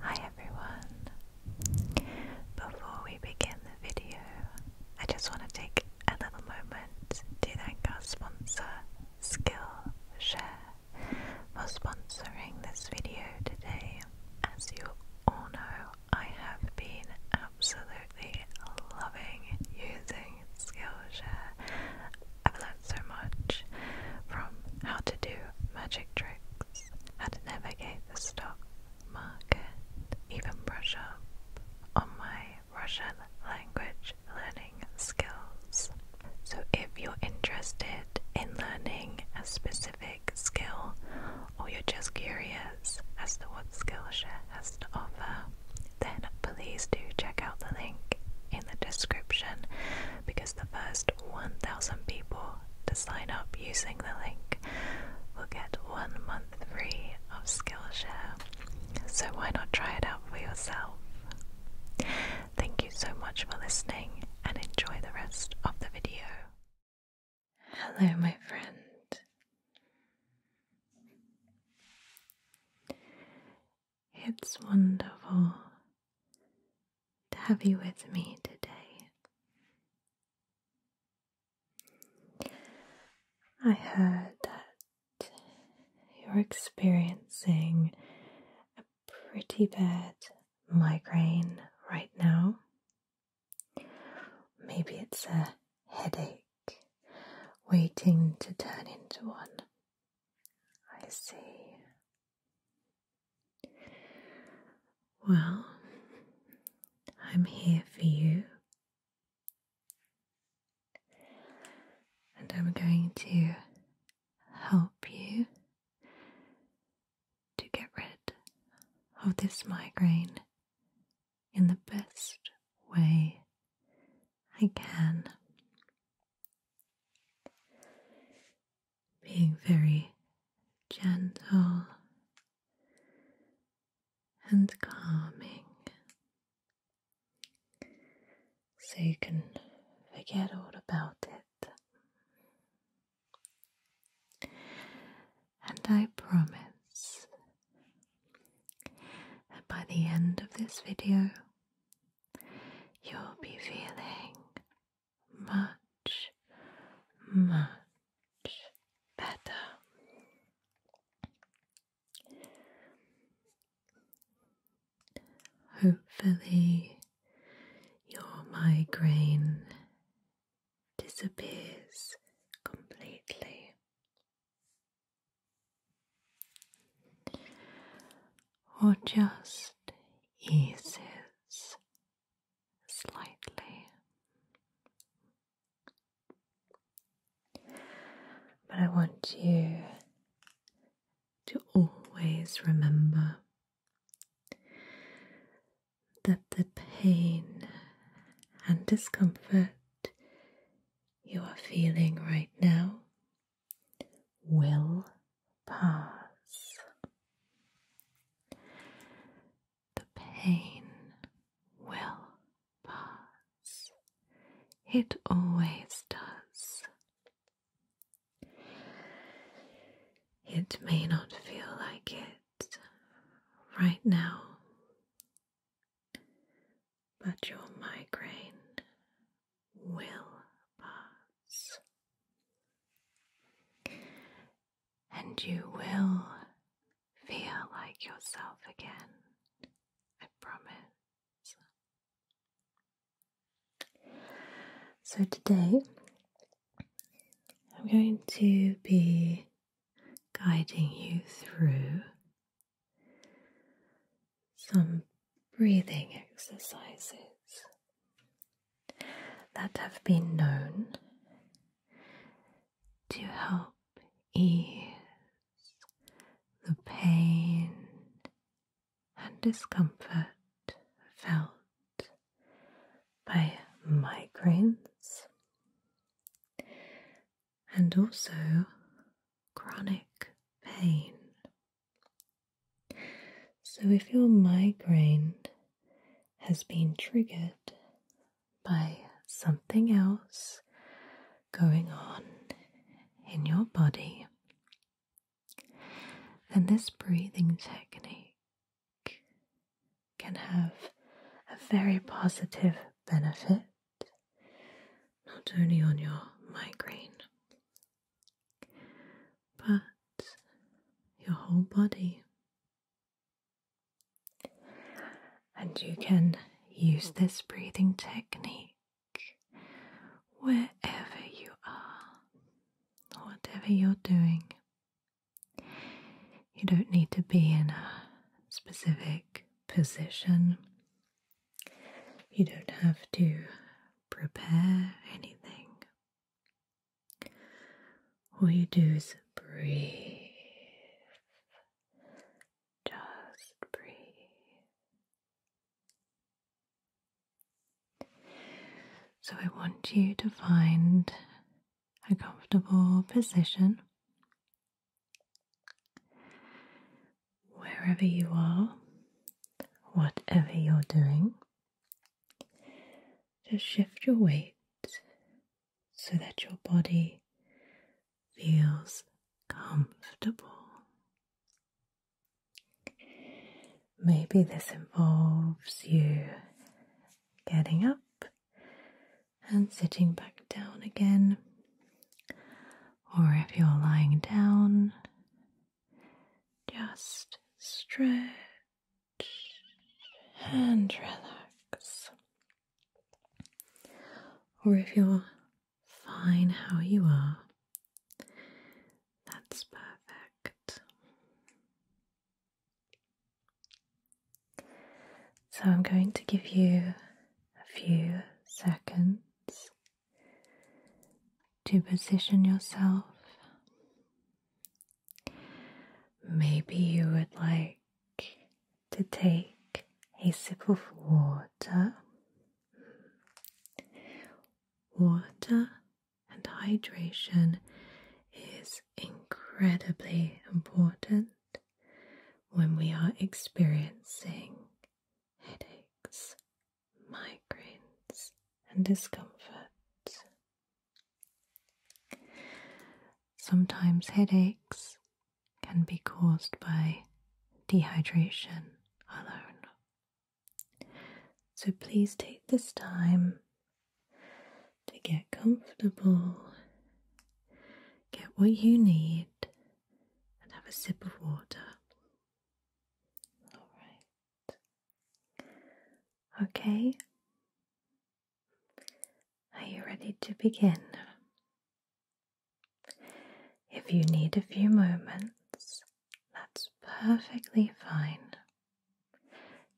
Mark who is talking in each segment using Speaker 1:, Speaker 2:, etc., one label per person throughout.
Speaker 1: Hi everyone! Before we begin the video, I just want to take a little moment to thank our sponsor, Skillshare, for sponsoring this video today. As you all know, I have been absolutely loving using Skillshare. I've learned so much from how to do magic tricks how to navigate the stock market, even brush up on my Russian language learning skills. So, if you're interested in learning a specific skill or you're just curious as to what Skillshare has to offer, then please do check out the link in the description because the first 1,000 people to sign up using the link will get one month free of Skillshare. So why not try it out for yourself? Thank you so much for listening and enjoy the rest of the video. Hello, my friend. It's wonderful to have you with me today. I heard that you're experiencing a pretty bad migraine right now. Maybe it's a headache waiting to turn into one. I see. Well, I'm here for you, and I'm going to help you to get rid of this migraine in the best way I can being very gentle and calming. So you can forget all about it. And I promise that by the end of this video, you'll be feeling much, much better. Hopefully, your migraine disappears completely or just eases slightly. But I want you to always remember that the pain and discomfort you are feeling right now will pass. The pain will pass. It always does. It may not feel like it right now, but your migraine will pass. And you will feel like yourself again, I promise. So, today I'm going to be guiding you through some breathing exercises that have been known to help ease the pain and discomfort felt by migraines and also chronic pain so, if your migraine has been triggered by something else going on in your body, then this breathing technique can have a very positive benefit not only on your migraine but your whole body. And you can use this breathing technique wherever you are, whatever you're doing. You don't need to be in a specific position. You don't have to prepare anything. All you do is breathe. Just breathe. So, I want you to find a comfortable position wherever you are, whatever you're doing, just shift your weight so that your body feels comfortable. Maybe this involves you getting up and sitting back down again, or if you're lying down, just stretch and relax. Or if you're fine how you are, that's perfect. So I'm going to give you a few seconds to position yourself. Maybe you would like to take a sip of water. Water and hydration is incredibly important when we are experiencing headaches migraines, and discomfort. Sometimes headaches can be caused by dehydration alone. So please take this time to get comfortable, get what you need, and have a sip of water. All right. Okay. Are you ready to begin? If you need a few moments, that's perfectly fine.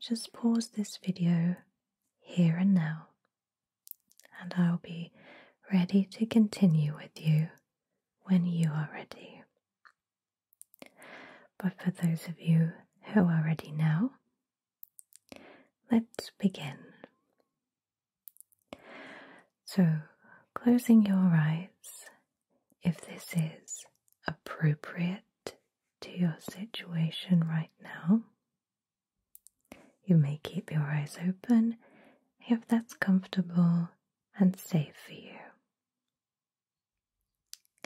Speaker 1: Just pause this video here and now, and I'll be ready to continue with you when you are ready. But for those of you who are ready now, let's begin. So, closing your eyes if this is appropriate to your situation right now. You may keep your eyes open if that's comfortable and safe for you.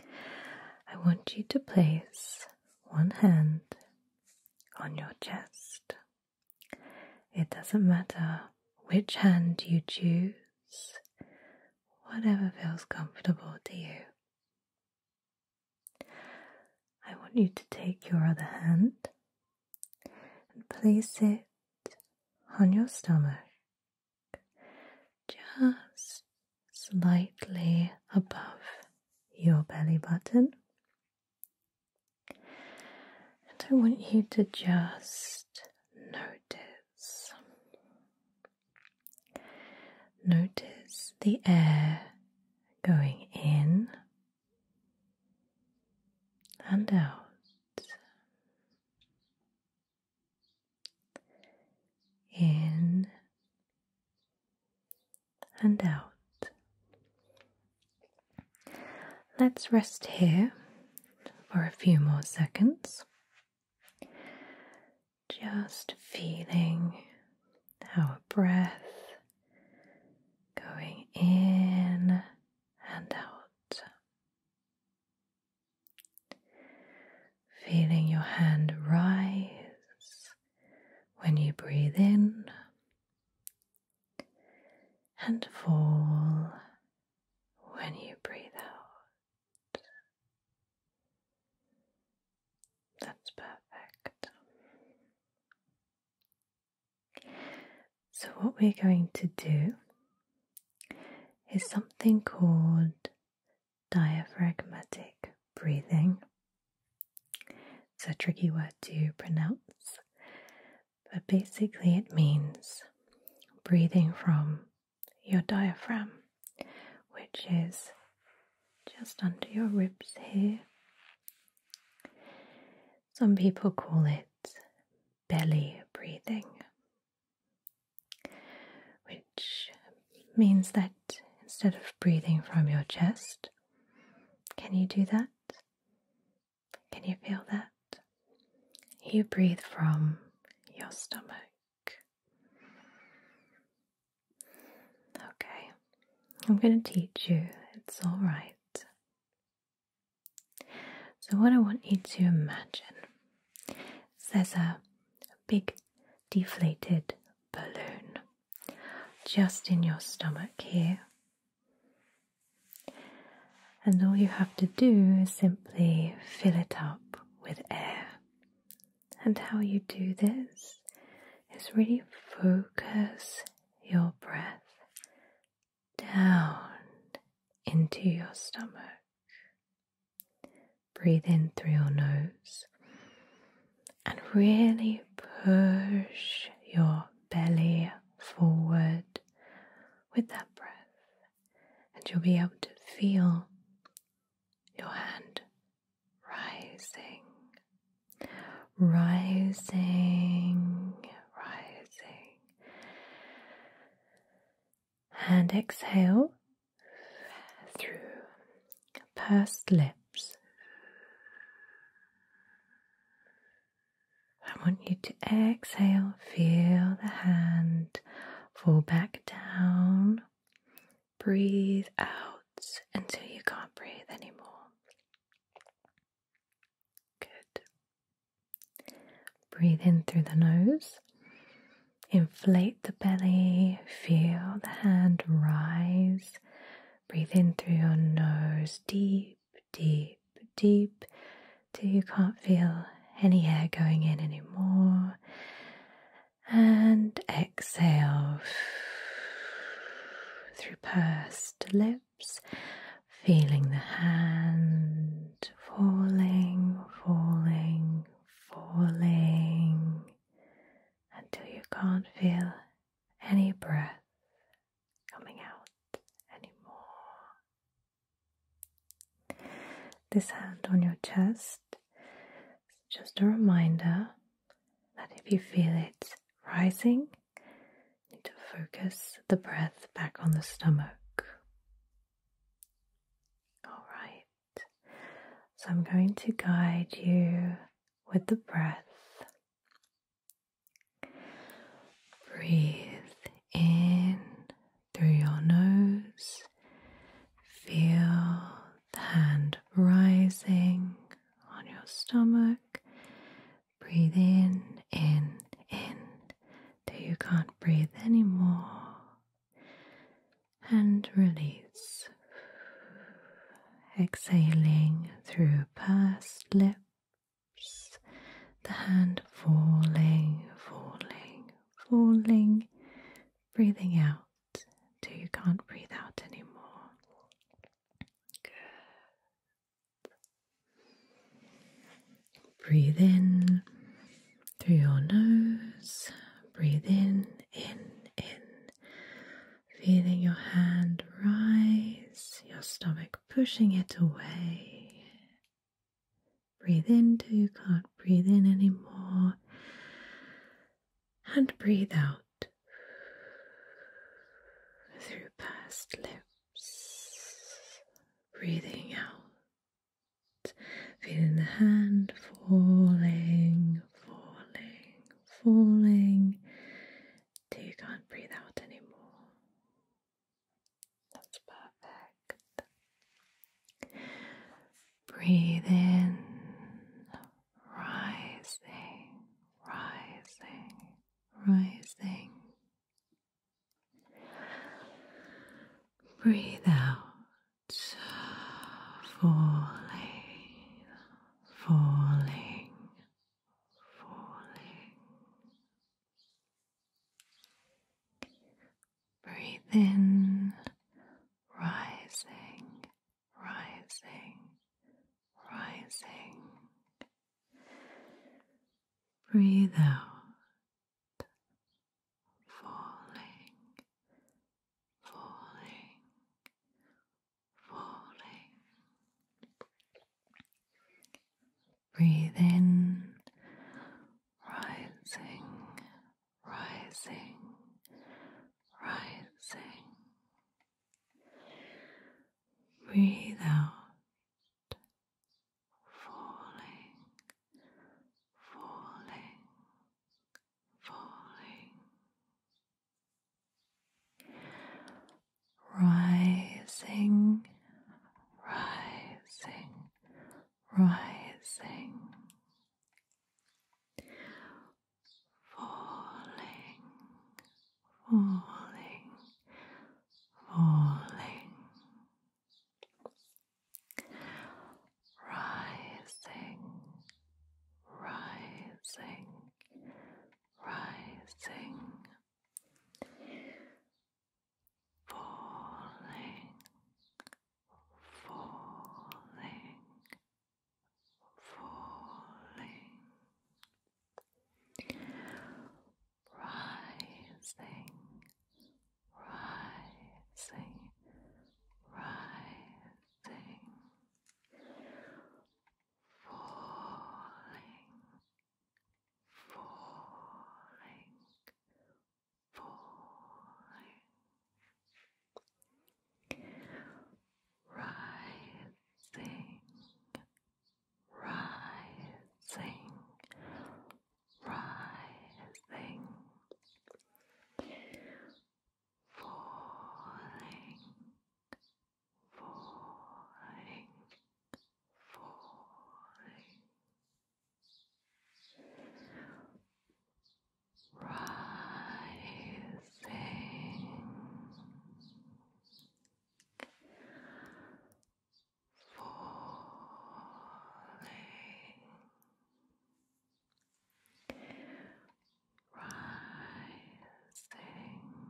Speaker 1: I want you to place one hand on your chest. It doesn't matter which hand you choose, whatever feels comfortable to you. I want you to take your other hand and place it on your stomach, just slightly above your belly button. And I want you to just notice. Notice the air going in and out in and out. Let's rest here for a few more seconds. Just feeling our breath going in and out. Feeling your hand rise when you breathe in and fall when you breathe out. That's perfect. So, what we're going to do is something called diaphragmatic breathing. It's a tricky word to pronounce, but basically it means breathing from your diaphragm, which is just under your ribs here. Some people call it belly breathing, which means that instead of breathing from your chest, can you do that? Can you feel that? You breathe from your stomach. Okay, I'm going to teach you, it's all right. So, what I want you to imagine there's a big deflated balloon just in your stomach here. And all you have to do is simply fill it up with air. And how you do this is really focus your breath down into your stomach. Breathe in through your nose and really push your belly forward with that breath, and you'll be able to feel your hand rising, rising, rising. And exhale through pursed lips. I want you to exhale, feel the hand fall back down. Breathe out until you can't breathe anymore. Good. Breathe in through the nose. Inflate the belly. Feel the hand rise. Breathe in through your nose, deep, deep, deep, till you can't feel any air going in anymore. And exhale through pursed lips feeling the hand falling, falling, falling until you can't feel any breath coming out anymore. This hand on your chest just a reminder that if you feel it rising, Need to focus the breath back on the stomach. All right, so I'm going to guide you with the breath. Breathe in through your nose, feel the hand rising on your stomach Breathe in, in, in, till you can't breathe anymore. And release. Exhaling through pursed lips, the hand falling, falling, falling, breathing out till you can't breathe out anymore. Good. Breathe in through your nose, breathe in, in, in, feeling your hand rise, your stomach pushing it away. Breathe in till you can't breathe in anymore, and breathe out through past lips, breathing out, feeling the hand falling, falling, falling till you can't breathe out anymore. That's perfect. Breathe in, rising, rising, rising. Breathe out, falling, falling, falling. Breathe in, rising, rising, rising. Breathe out, falling, falling, falling. Breathe in, rising, rising, rising breathe out, falling, falling, falling, rising, rising, rising. Falling, falling, falling, rising, rising, rising, falling, falling, falling rising, rising, rising, falling, falling, falling rising, rising, rising, falling, falling, falling, rising falling, rising, falling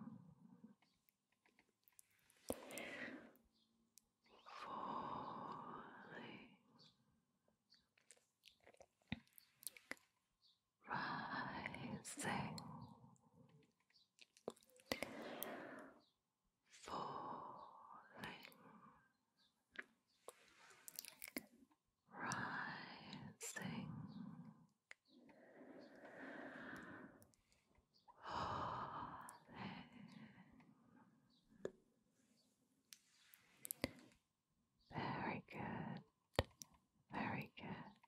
Speaker 1: rising falling rising falling very good very good.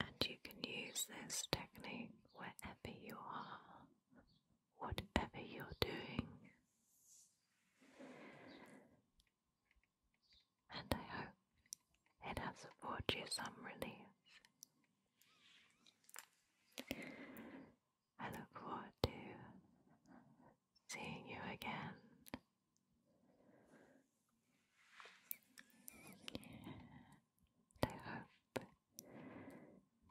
Speaker 1: And you can use this technique wherever you are, whatever you're doing. And I hope it has afforded you some relief. I look forward to seeing you again. I hope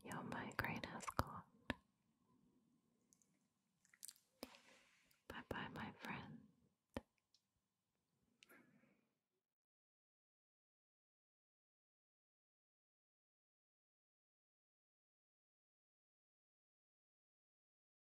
Speaker 1: your migraine has gone. Bye bye, my friend.